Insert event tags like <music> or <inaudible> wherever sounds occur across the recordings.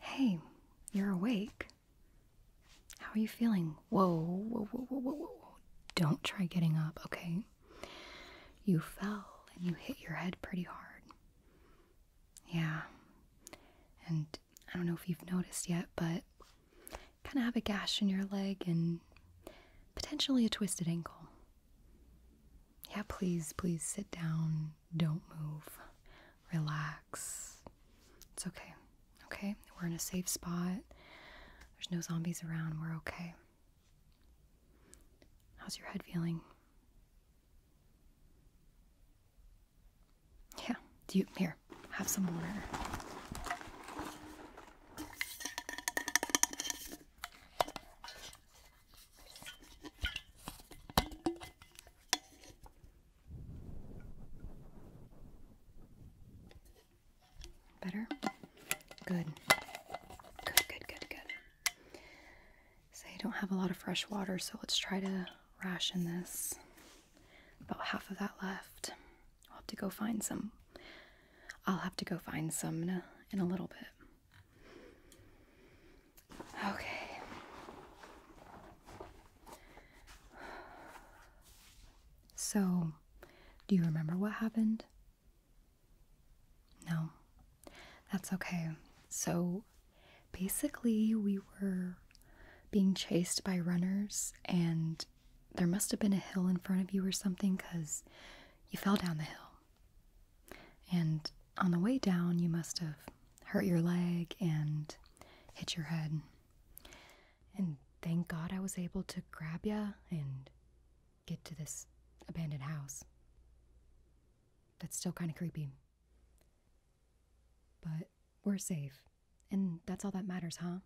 Hey, you're awake. How are you feeling? Whoa, whoa, whoa, whoa, whoa, whoa. Don't try getting up, okay? You fell and you hit your head pretty hard. Yeah. And I don't know if you've noticed yet, but kind of have a gash in your leg and potentially a twisted ankle. Yeah, please, please sit down. Don't move. Relax. It's okay. Okay? We're in a safe spot. There's no zombies around. We're okay. How's your head feeling? Yeah. Do you here, have some water. Better? Good. Good, good, good, good. So you don't have a lot of fresh water, so let's try to ration this. About half of that left. I'll have to go find some. I'll have to go find some in a little bit. Okay. So, do you remember what happened? No. That's okay. So, basically, we were being chased by runners, and there must have been a hill in front of you or something because you fell down the hill. And on the way down, you must have hurt your leg and hit your head. And thank God I was able to grab you and get to this abandoned house. That's still kind of creepy. But we're safe. And that's all that matters, huh?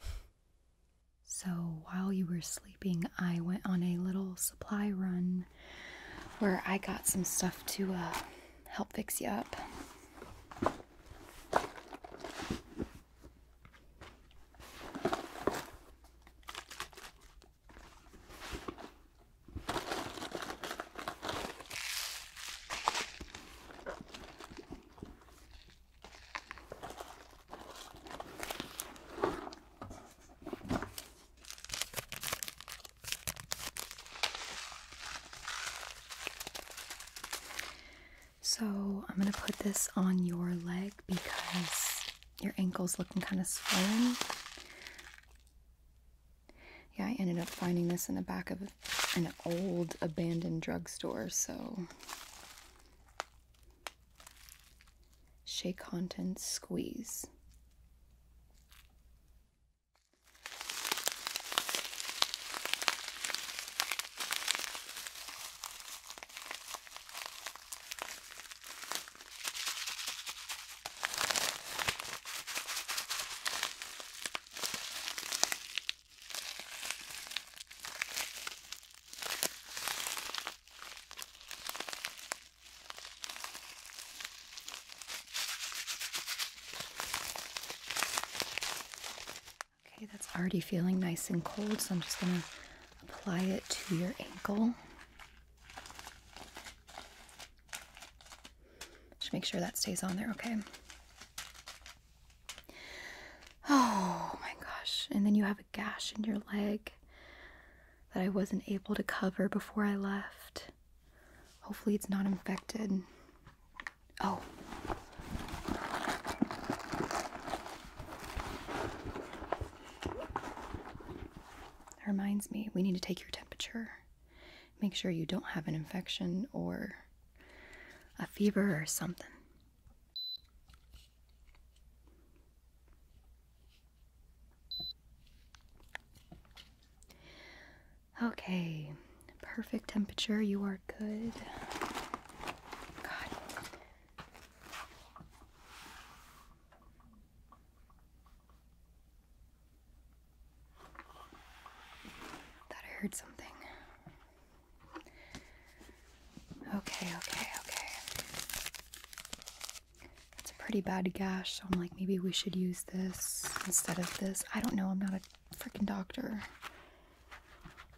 <laughs> So while you were sleeping, I went on a little supply run where I got some stuff to uh, help fix you up. So I'm gonna put this on your leg because your ankle's looking kind of swollen. Yeah, I ended up finding this in the back of an old abandoned drugstore, so shake contents, squeeze. Okay, that's already feeling nice and cold, so I'm just going to apply it to your ankle. Just make sure that stays on there, okay? Oh my gosh. And then you have a gash in your leg that I wasn't able to cover before I left. Hopefully, it's not infected. Oh. That reminds me, we need to take your temperature. Make sure you don't have an infection or a fever or something. Okay, perfect temperature. You are good. God. Thought I heard something. Okay, okay, okay it's a pretty bad gash, so I'm like, maybe we should use this instead of this. I don't know, I'm not a freaking doctor.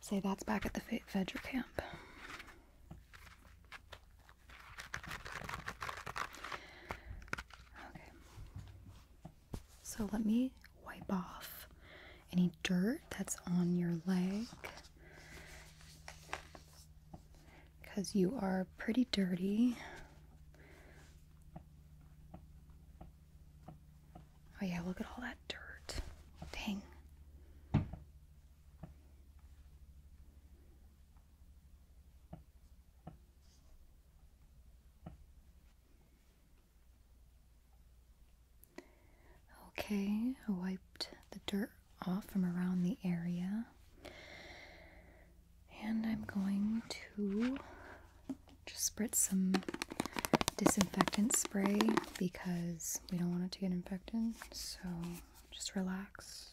Say that's back at the Vedra camp. Okay. So let me wipe off any dirt that's on your leg because you are pretty dirty. Oh, yeah, look at all that dirt. Dang. Okay, I wiped the dirt off from around the area. And I'm going to just spritz some disinfectant spray because we don't want it to get infected. So just relax.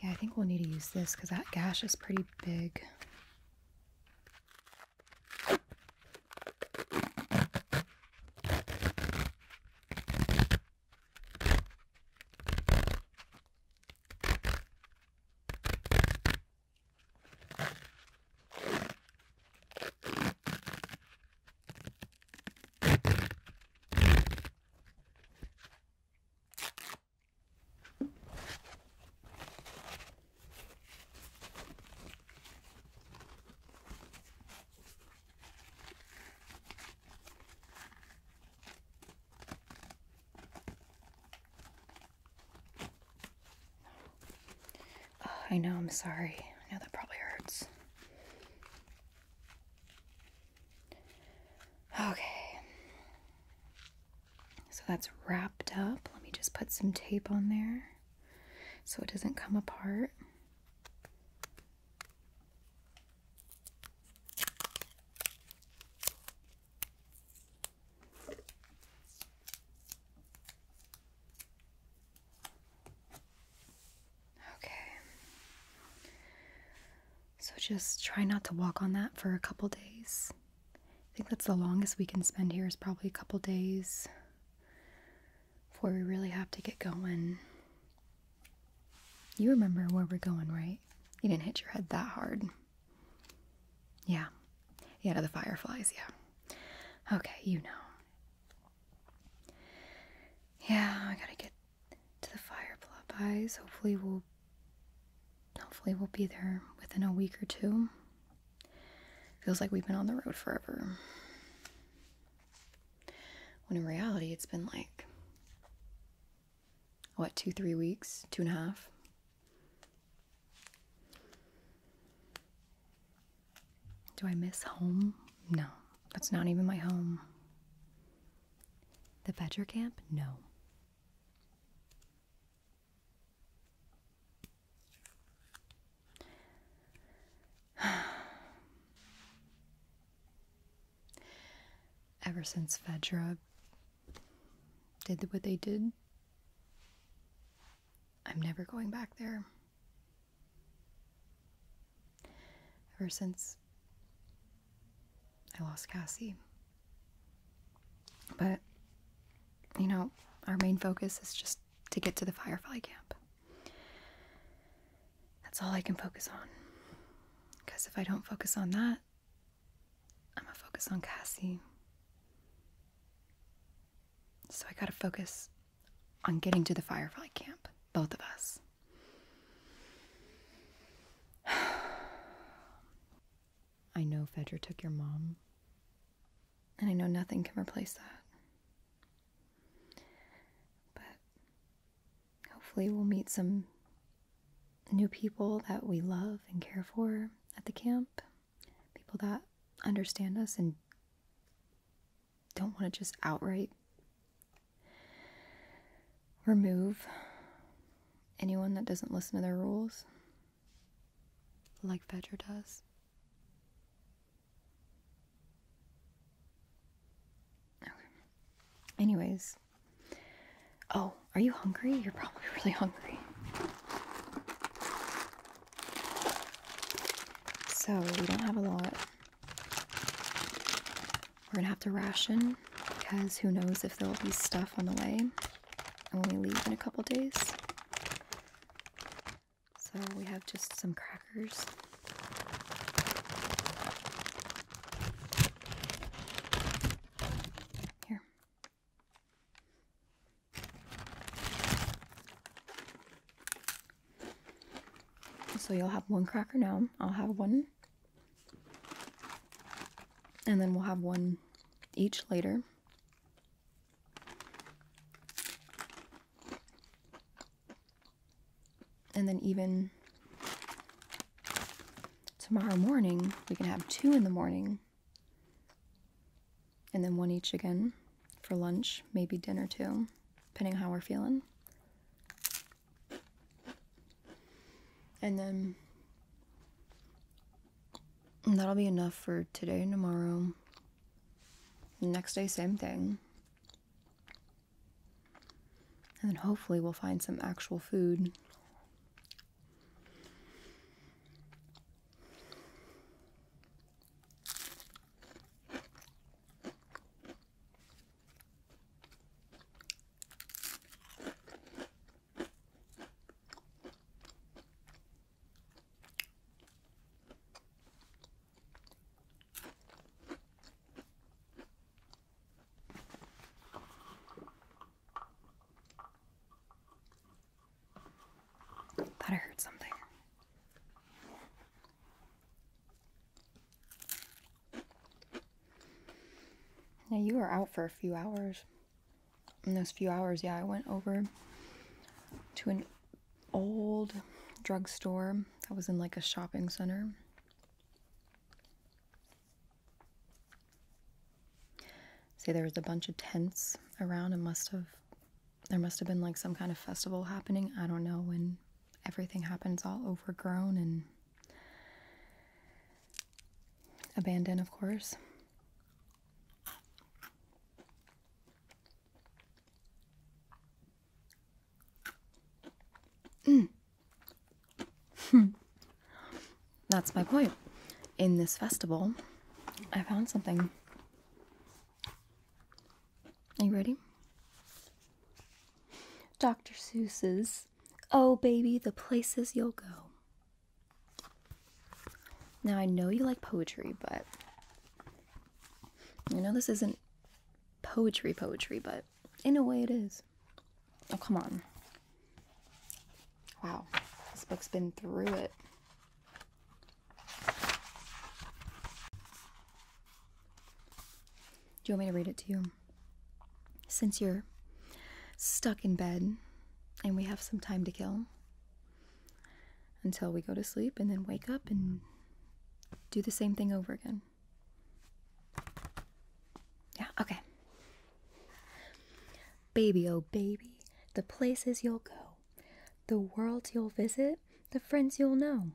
Yeah, I think we'll need to use this because that gash is pretty big. Oh, I know, I'm sorry. I know that probably hurts. Okay. So that's wrapped up. Let me just put some tape on there so it doesn't come apart. Okay. So just try not to walk on that for a couple days. I think that's the longest we can spend here is probably a couple days before we really have to get going. You remember where we're going, right? You didn't hit your head that hard. Yeah. Yeah, to the fireflies, yeah. Okay, you know. Yeah, I gotta get to the fire plop Hopefully we'll hopefully we'll be there within a week or two. Feels like we've been on the road forever. When in reality it's been like what, two, three weeks, two and a half? Do I miss home? No, that's not even my home. The Fetcher Camp? No. <sighs> Ever since Fedra did what they did, I'm never going back there. Ever since I lost Cassie. But, you know, our main focus is just to get to the Firefly camp. That's all I can focus on. Because if I don't focus on that, I'm gonna focus on Cassie. So I gotta focus on getting to the Firefly camp, both of us. <sighs> I know Fedra took your mom, and I know nothing can replace that. But hopefully, we'll meet some new people that we love and care for at the camp, people that understand us and don't want to just outright remove anyone that doesn't listen to their rules like Vedra does. Okay. Anyways. Oh, are you hungry? You're probably <laughs> really hungry. So, we don't have a lot we're gonna have to ration because who knows if there'll be stuff on the way when we leave in a couple days. So we have just some crackers. Here. So you'll have one cracker now. I'll have one. And then we'll have one each later. And then even tomorrow morning, we can have two in the morning. And then one each again for lunch, maybe dinner too depending on how we're feeling. And then that'll be enough for today and tomorrow. next day, same thing. And then hopefully we'll find some actual food. Thought I heard something. Yeah, you were out for a few hours. In those few hours, yeah, I went over to an old drugstore that was in like a shopping center. See, there was a bunch of tents around and must have there must have been like some kind of festival happening. I don't know when everything happens all overgrown and abandoned, of course. Mm. <clears throat> That's my point. In this festival, I found something are you ready? Dr. Seuss's Oh Baby, the Places You'll Go. Now, I know you like poetry, but I know this isn't poetry, poetry, but in a way it is. Oh, come on. Wow, this book's been through it. Do you want me to read it to you? Since you're stuck in bed and we have some time to kill until we go to sleep and then wake up and do the same thing over again. Yeah, okay. Baby, oh baby, the places you'll go, the world you'll visit, the friends you'll know.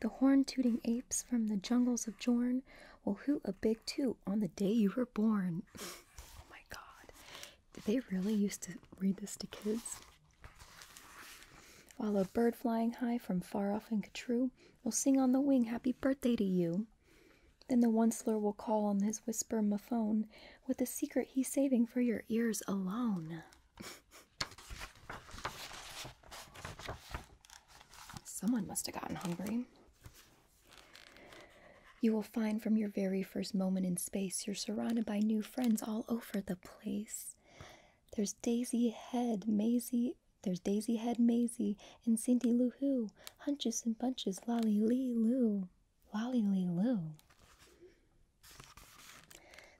The horn tooting apes from the jungles of Jorn will hoot a big toot on the day you were born. <laughs> oh my god. Did they really used to read this to kids? While a bird flying high from far off in Inkatru will sing on the wing happy birthday to you. Then the onceler will call on his whisper mafone with a secret he's saving for your ears alone. <laughs> Someone must have gotten hungry. You will find from your very first moment in space you're surrounded by new friends all over the place. There's Daisy Head, Maisie, there's Daisy Head Maisie, and Cindy Lou Who, Hunches and Bunches, Lolly Lee Lou, Lolly Lee Lou.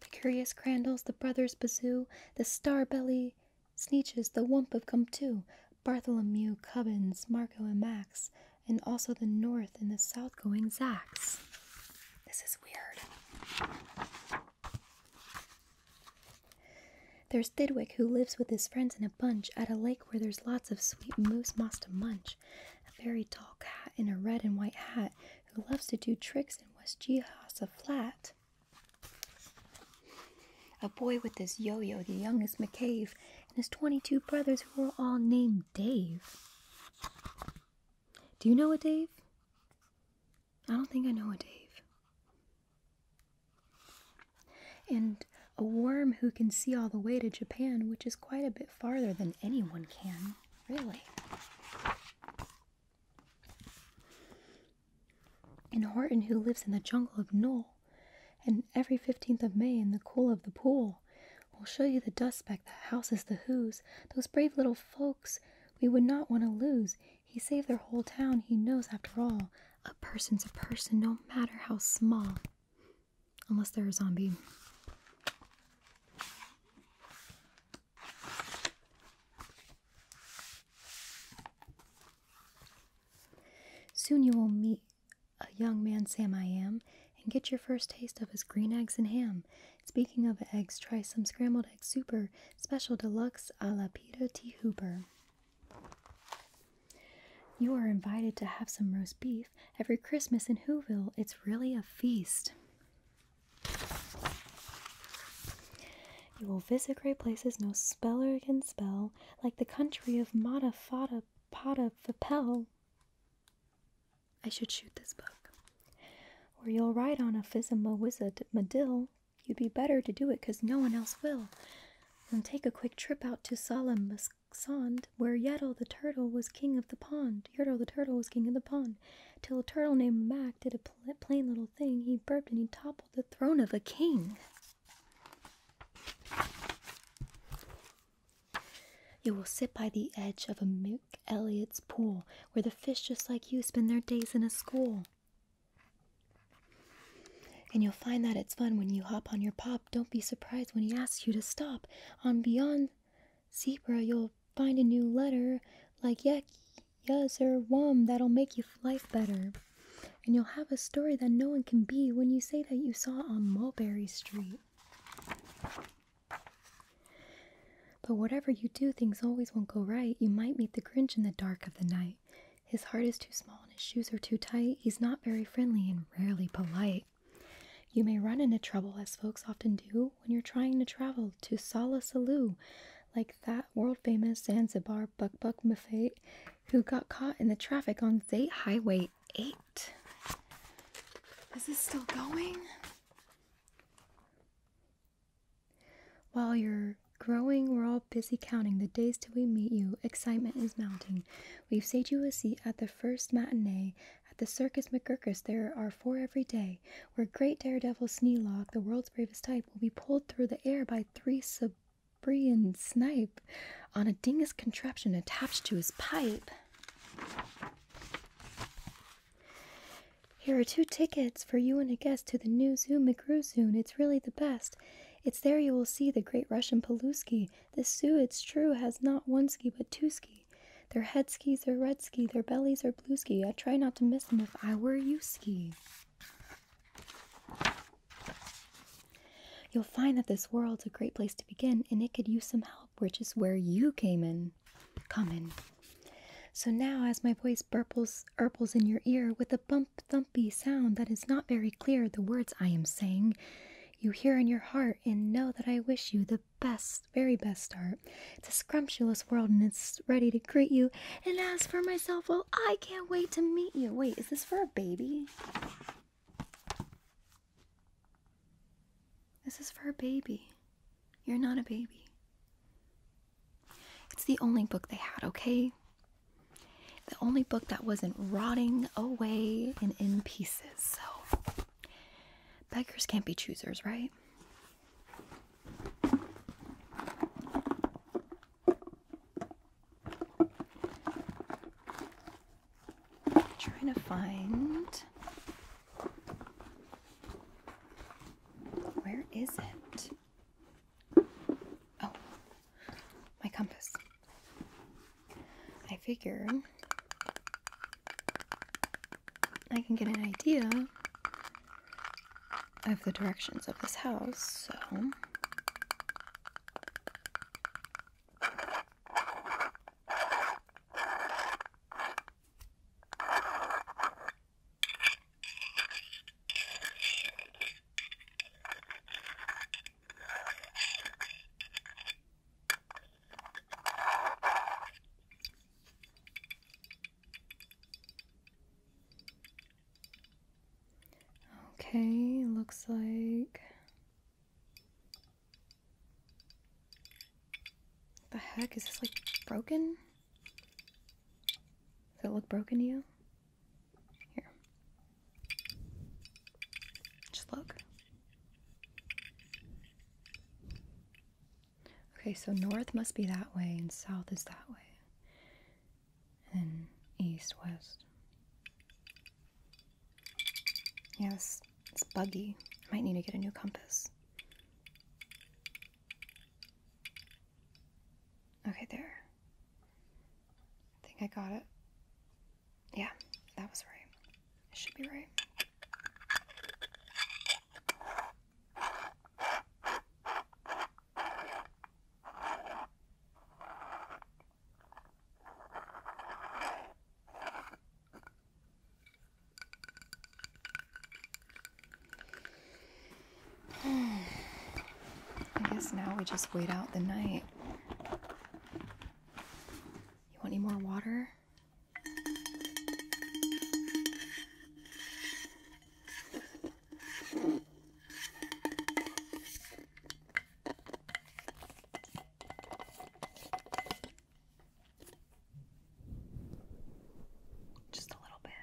The Curious Crandalls, the Brothers Bazoo, the Starbelly Sneeches, the Wump of Comtoo, Bartholomew Cubbins, Marco and Max, and also the North and the South going Zacks. This is weird. There's Didwick, who lives with his friends in a bunch at a lake where there's lots of sweet moose moss to munch. A very tall cat in a red and white hat who loves to do tricks in West Jehas flat. A boy with his yo yo, the youngest McCabe, and his 22 brothers who are all named Dave. Do you know a Dave? I don't think I know a Dave. And a worm who can see all the way to Japan, which is quite a bit farther than anyone can, really. And Horton, who lives in the jungle of Knoll, and every 15th of May in the cool of the pool, will show you the dust speck that houses the Who's, those brave little folks we would not want to lose. He saved their whole town, he knows after all. A person's a person, no matter how small. Unless they're a zombie. Soon you will meet a young man, Sam I Am, and get your first taste of his green eggs and ham. Speaking of eggs, try some scrambled eggs, super, special deluxe a la Peter T. Hooper. You are invited to have some roast beef every Christmas in Hooville. It's really a feast. You will visit great places no speller can spell, like the country of Mata Fata Pata Fapel. I should shoot this book. Or you'll write on a Fizima Wizard Medill. You'd be better to do it, 'cause no one else will. Then take a quick trip out to Solemn where Yertle the turtle was king of the pond. Yertle the turtle was king of the pond, till a turtle named Mac did a plain little thing, he burped and he toppled the throne of a king. You will sit by the edge of a Mink Elliot's pool, where the fish just like you spend their days in a school. And you'll find that it's fun when you hop on your pop. Don't be surprised when he asks you to stop. On Beyond Zebra, you'll find a new letter like yak, yuz, or wum that'll make your life better. And you'll have a story that no one can be when you say that you saw on Mulberry Street. But whatever you do, things always won't go right. You might meet the Grinch in the dark of the night. His heart is too small and his shoes are too tight. He's not very friendly and rarely polite. You may run into trouble, as folks often do, when you're trying to travel to Sala Salou, like that world famous Zanzibar Buck Buck Mafate who got caught in the traffic on Zate Highway 8. Is this still going? While you're growing, we're all busy counting the days till we meet you. Excitement is mounting. We've saved you a seat at the first matinee. At the Circus McGurkus, there are four every day where great daredevil Sneelock, the world's bravest type, will be pulled through the air by three Sabrian snipe on a dingus contraption attached to his pipe. Here are two tickets for you and a guest to the new zoo, McGrew It's really the best. It's there you will see the great Russian pelouski. The Sioux, it's true, has not one ski but two ski. Their head skis are red ski, their bellies are or blue ski. I try not to miss them if I were you ski. You'll find that this world's a great place to begin and it could use some help, which is where you came in. Come in. So now, as my voice burbles, burbles in your ear with a bump thumpy sound that is not very clear, the words I am saying, you hear in your heart and know that I wish you the best, very best start. It's a scrumptious world and it's ready to greet you. And as for myself, well, I can't wait to meet you. Wait, is this for a baby? This is for a baby. You're not a baby. It's the only book they had, okay? The only book that wasn't rotting away and in pieces, so. Beggars can't be choosers, right? Trying to find where is it? Oh, my compass. I figure I can get an idea of the directions of this house, so. Okay, looks like the heck is this like broken? Does it look broken to you? Here. Just look. Okay, so north must be that way and south is that way. And east, west. Yes, it's buggy. I might need to get a new compass. Okay, there. I think I got it. Yeah, that was right. It should be right. I guess now we just wait out the night. You want any more water? Just a little bit.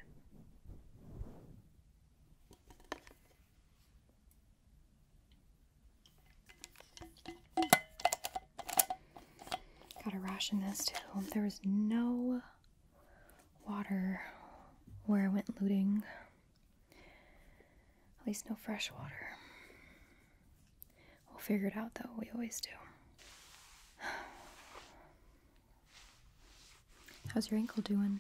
Gotta ration this too. There is no water where I went looting. At least no fresh water. We'll figure it out though, we always do. <sighs> How's your ankle doing?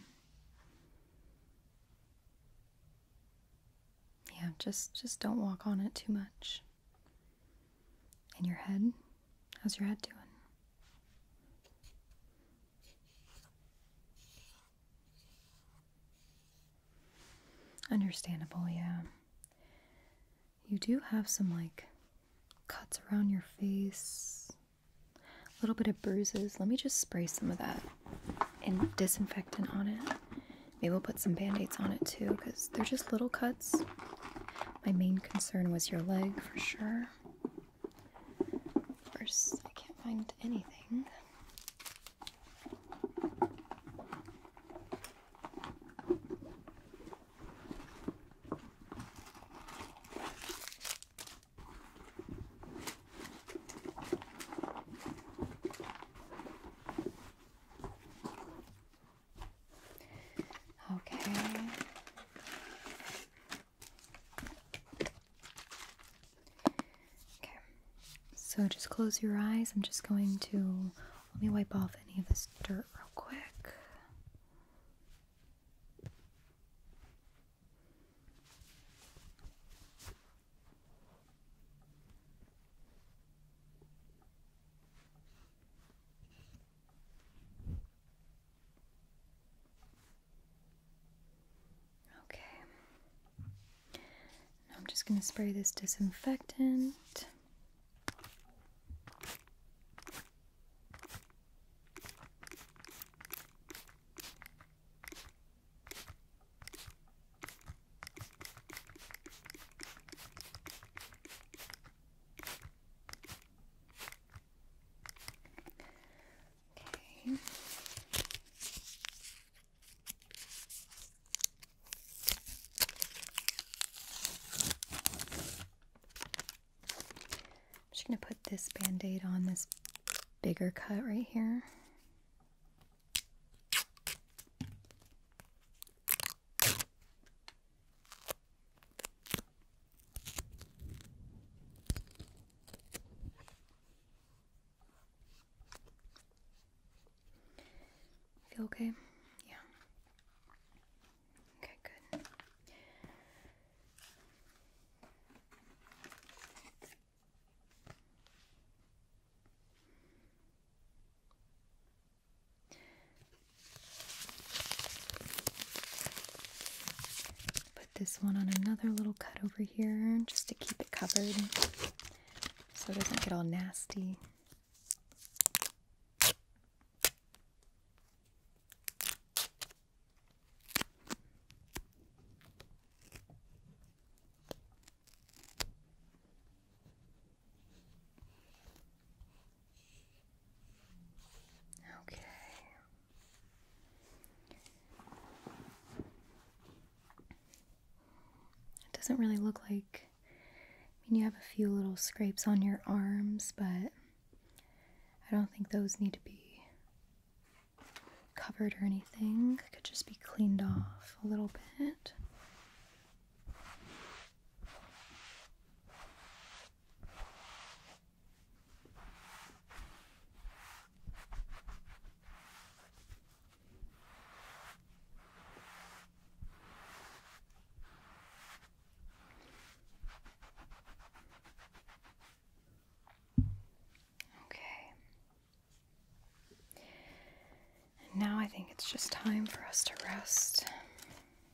Yeah, just just don't walk on it too much. In your head? How's your head doing? Understandable, yeah. You do have some like cuts around your face, a little bit of bruises. Let me just spray some of that and disinfectant on it. Maybe we'll put some band aids on it too because they're just little cuts. My main concern was your leg for sure. Of course, I can't find anything. Okay. Okay. So just close your eyes. I'm just going to let me wipe off any of this dirt real quick. Okay. I'm just going to spray this disinfectant. I'm just going to put this band aid on this bigger cut right here. Feel okay? Yeah. Okay, good. Put this one on another little cut over here just to keep it covered so it doesn't get all nasty. Okay. It doesn't really look like. I mean, you have a few little scrapes on your arms, but I don't think those need to be covered or anything. Could just be cleaned off a little bit. Okay. And now I think it's just time for us to rest.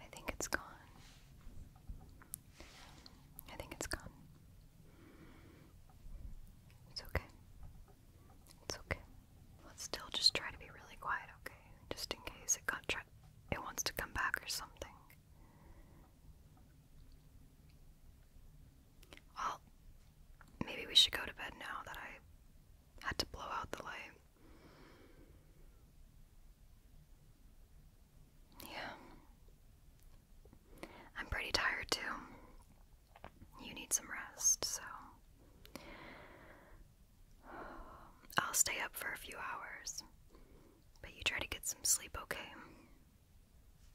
I think it's gone. I think it's gone. It's okay. It's okay. Let's still just try to be really quiet, okay? Just in case it got it wants to come back or something. Well, maybe we should go to bed now that I had to blow out the light. Yeah. I'm pretty tired too. You need some rest, so. I'll stay up for a few hours, but you try to get some sleep, okay?